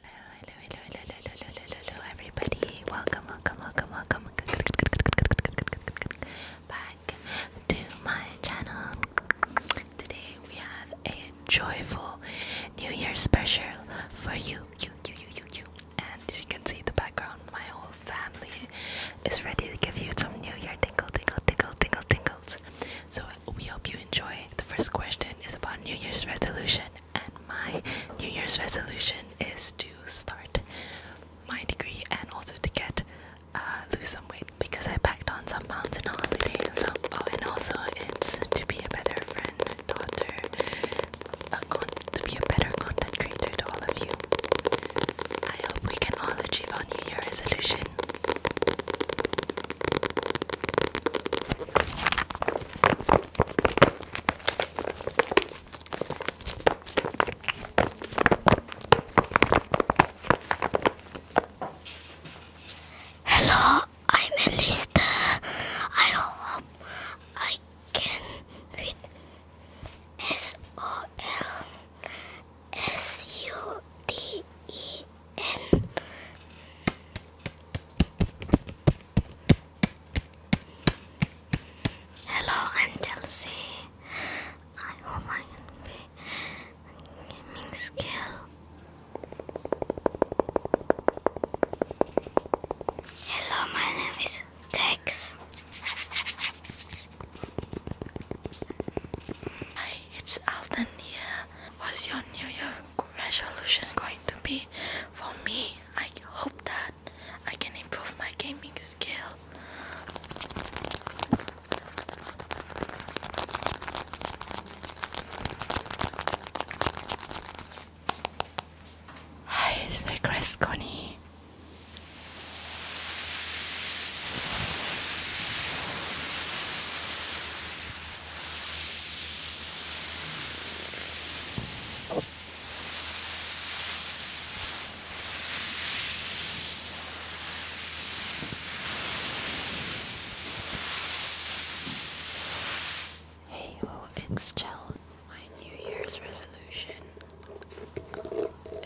Hello, hello, hello, hello, hello, hello, hello, hello, everybody. Welcome, welcome, welcome, welcome back to my channel. Today we have a joyful New Year special for you, you, you, you, you, you. And as you can see in the background, my whole family is ready to give you some New Year tingle, tingle, tingle, tingle, tingles. So we hope you enjoy. The first question is about New Year's resolution, and my New Year's resolution is to start my degree and also to get uh, lose some weight because I packed on some pounds in a holiday and Oh, and also it's to be a better friend, and daughter, a con to be a better content creator to all of you. I hope we can all achieve our New Year resolution. Hello, I'm Elista. I hope I can read S O L S U D E Hello, I'm Delcy. I hope I can be a gaming skill. Hello, my name is Tex. Hi it's Alden What's your New Year resolution going to be? For me, I hope that I can improve my gaming skill. Hi, it's Connie. Hey yo, My New Year's resolution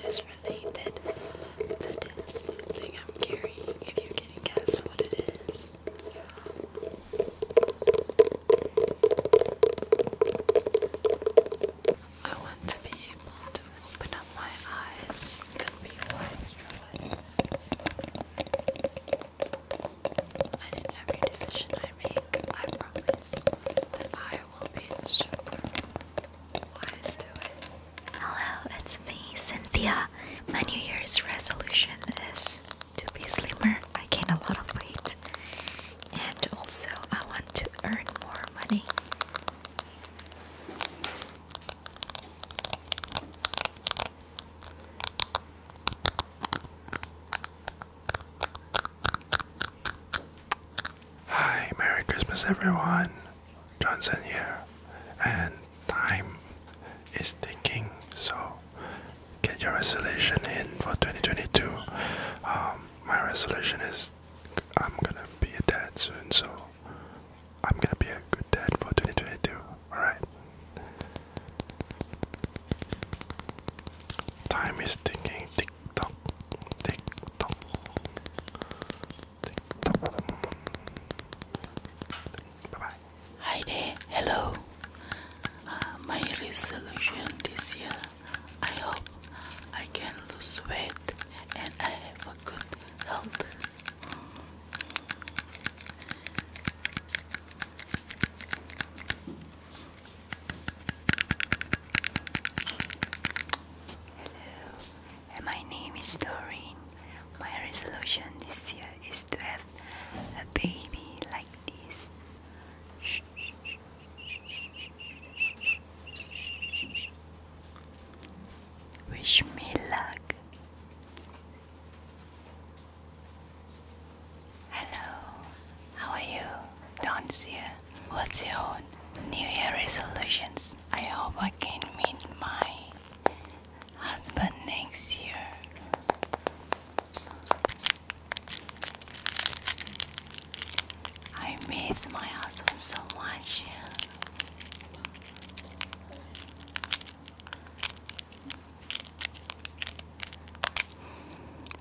is related to this thing I'm carrying. If you can guess what it is, I want to be able to open up my eyes and be wise And in every decision I make, I promise that I will be super wise to it. Hello, it's me, Cynthia. My New Year's resolution is to be slimmer. I gain a lot of weight, and also I want to earn more money. Hi, Merry Christmas, everyone. Johnson here, and time is ticking. So get your resolution in for 2022. Um, my resolution is I'm gonna be a dad soon, so I'm gonna be a good dad for 2022. Alright. Time is ticking. Tick tock. Tick tock bye Hi there, hello. Uh, my resolution this year. I hope I can lose weight and I have a good health. Hello, my name is Doreen. My resolution this year is to have a baby like this. Wish me luck. Hello, how are you? Don's here. What's your New Year resolutions? I hope I can meet my husband next year. I miss my husband so much.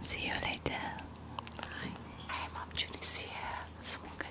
See you later. Bye. Hem opportunity here.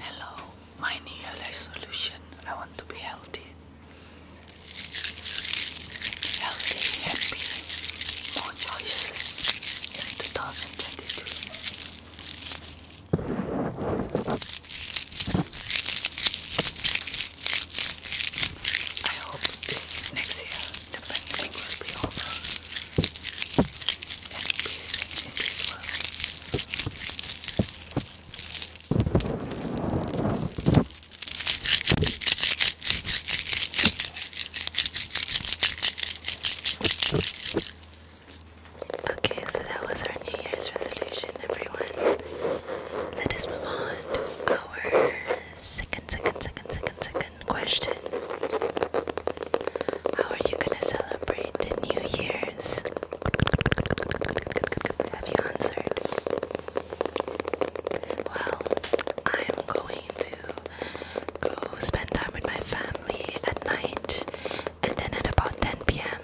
Hello, my new life solution. I want to be healthy. Healthy, happy, more choices in 2022. I hope this next year the pandemic will be over. Okay, so that was our New Year's resolution, everyone. Let us move on to our second, second, second, second, second question How are you going to celebrate the New Year's? Have you answered? Well, I'm going to go spend time with my family at night and then at about 10 pm,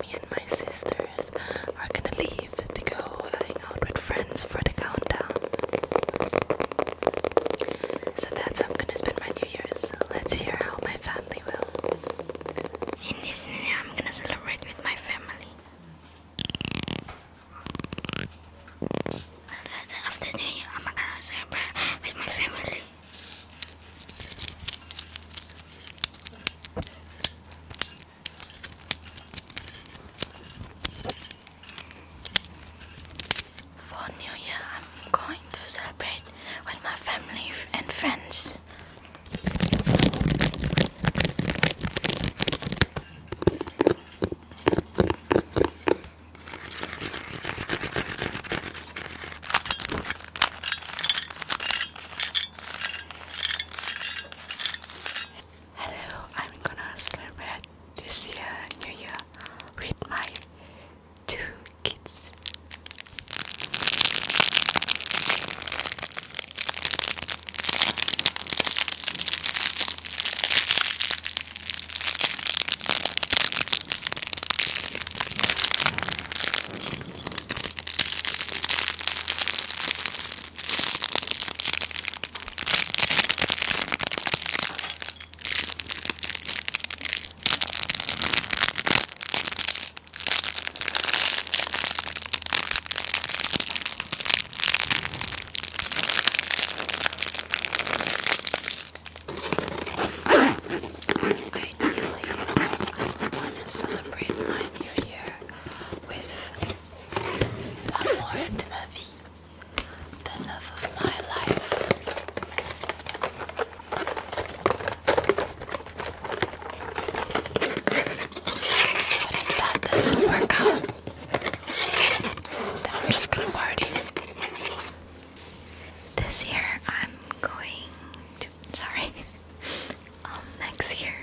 me and my sisters are gonna leave to go hang out with friends for the countdown. So that's how I'm gonna spend my New Year's. Let's hear how my family will. In this New Year, I'm gonna celebrate with my family. After New Year, I'm gonna celebrate with my family. For New Year, I'm going to celebrate with my family and friends. Hello, I'm gonna celebrate this year, New Year, with my two kids. I want to celebrate my new year with a more intimate vie the love of my life. But if that doesn't work out, then I'm just gonna party. This year I'm going to sorry. Um, next year.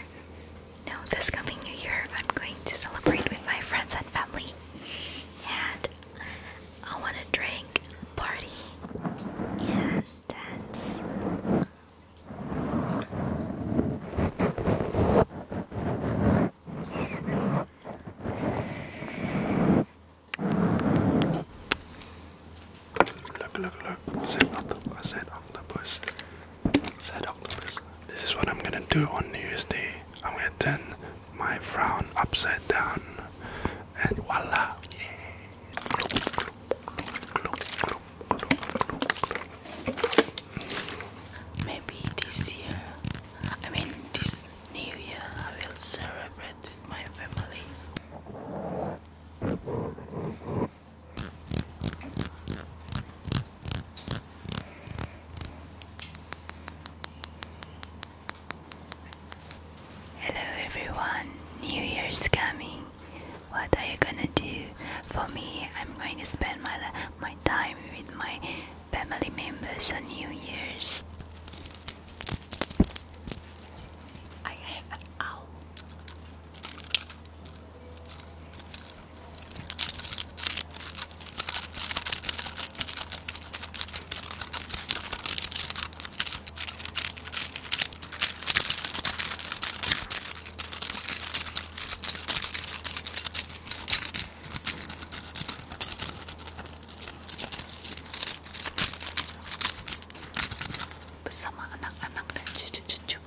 No, this coming new year I'm going to celebrate with my friends and family. And I want to drink, party, and dance. Look, look, look, said octopus, said octopus, said octopus. This is what I'm gonna do on New Year's Day. I'm gonna dance my frown upside down, and voila! Maybe this year, I mean, this new year, I will celebrate with my family. Hello everyone, New Year's coming. What are you gonna do? For me, I'm going to spend my, my time with my family members on New Year's. I have an owl. bersama anak-anak dan cucu-cucu.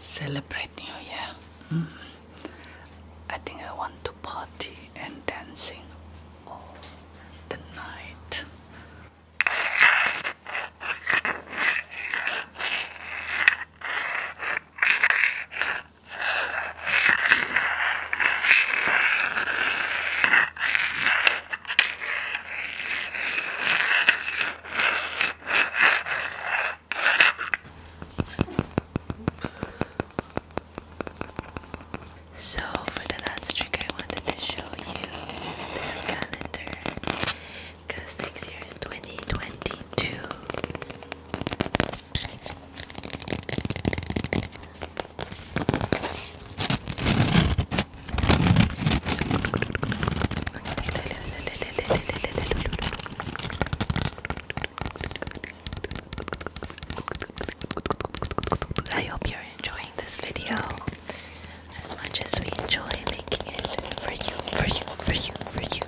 Celebrate New Year. Mm. I think I want to party and dancing all the night. So, for the last trick, I wanted to show you this calendar because next year is 2022. I hope you're enjoying this video as much as we enjoy making it for you, for you, for you, for you.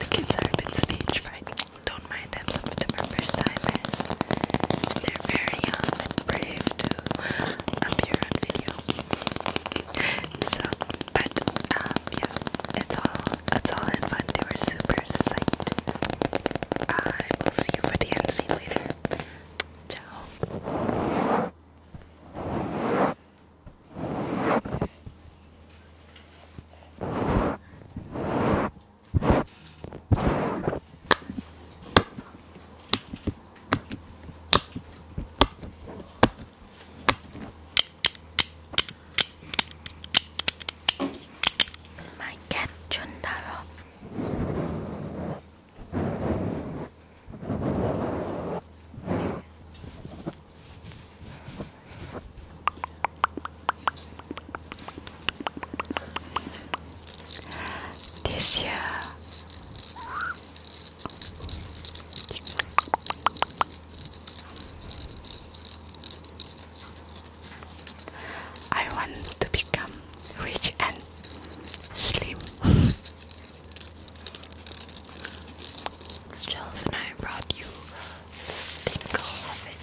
The kids are a bit stage fright. Don't mind them, some of them are first timers. They're very young and brave to appear on video. So, but um, yeah, it's all it's all in fun. They were super psyched. I will see you for the end. scene later. Ciao. My cat Jundaro. This year, I want to become rich and slim. Stills and I brought you this thing of it.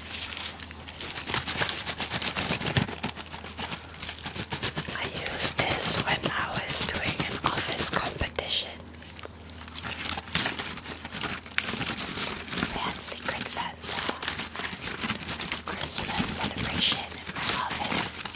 I used this when I was doing an office competition. We Secret Santa Christmas celebration in my office.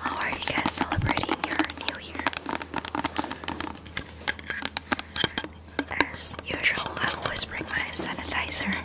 How are you guys celebrating your new year? As usual, I always bring my sanitizer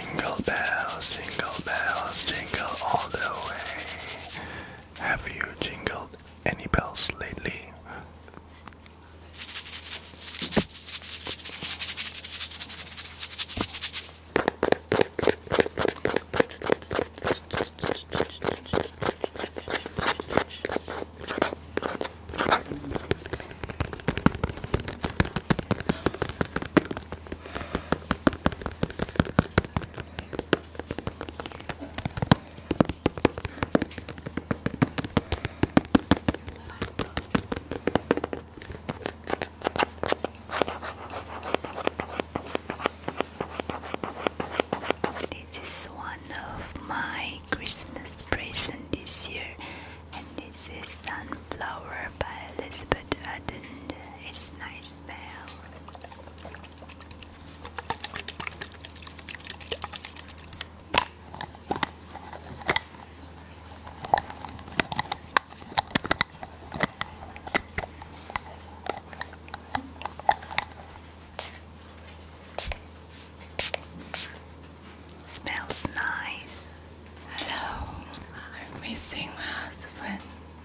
Jingle bells, jingle bells, jingle all the way. Have you jingled any bells lately? This is one of my Christmas presents this year, and this is Sunflower by Elizabeth Arden. It's nice. Smells nice. Hello, I'm missing my husband.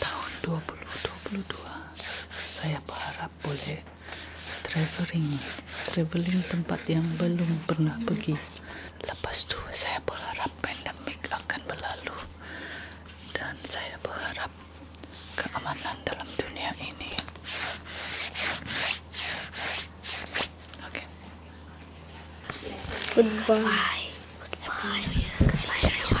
tahun 2022 saya berharap boleh traveling traveling tempat yang belum pernah pergi lepas itu saya berharap pandemik akan berlalu dan saya berharap keamanan dalam dunia ini Goodbye. Goodbye. Goodbye, everyone. Yeah.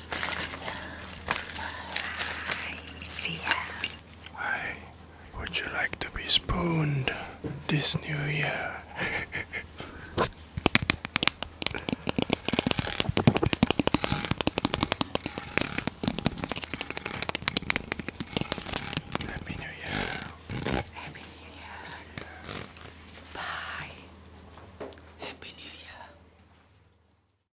Why would you like to be spooned this new year? Happy New Year. Happy New Year. Bye. Happy New Year.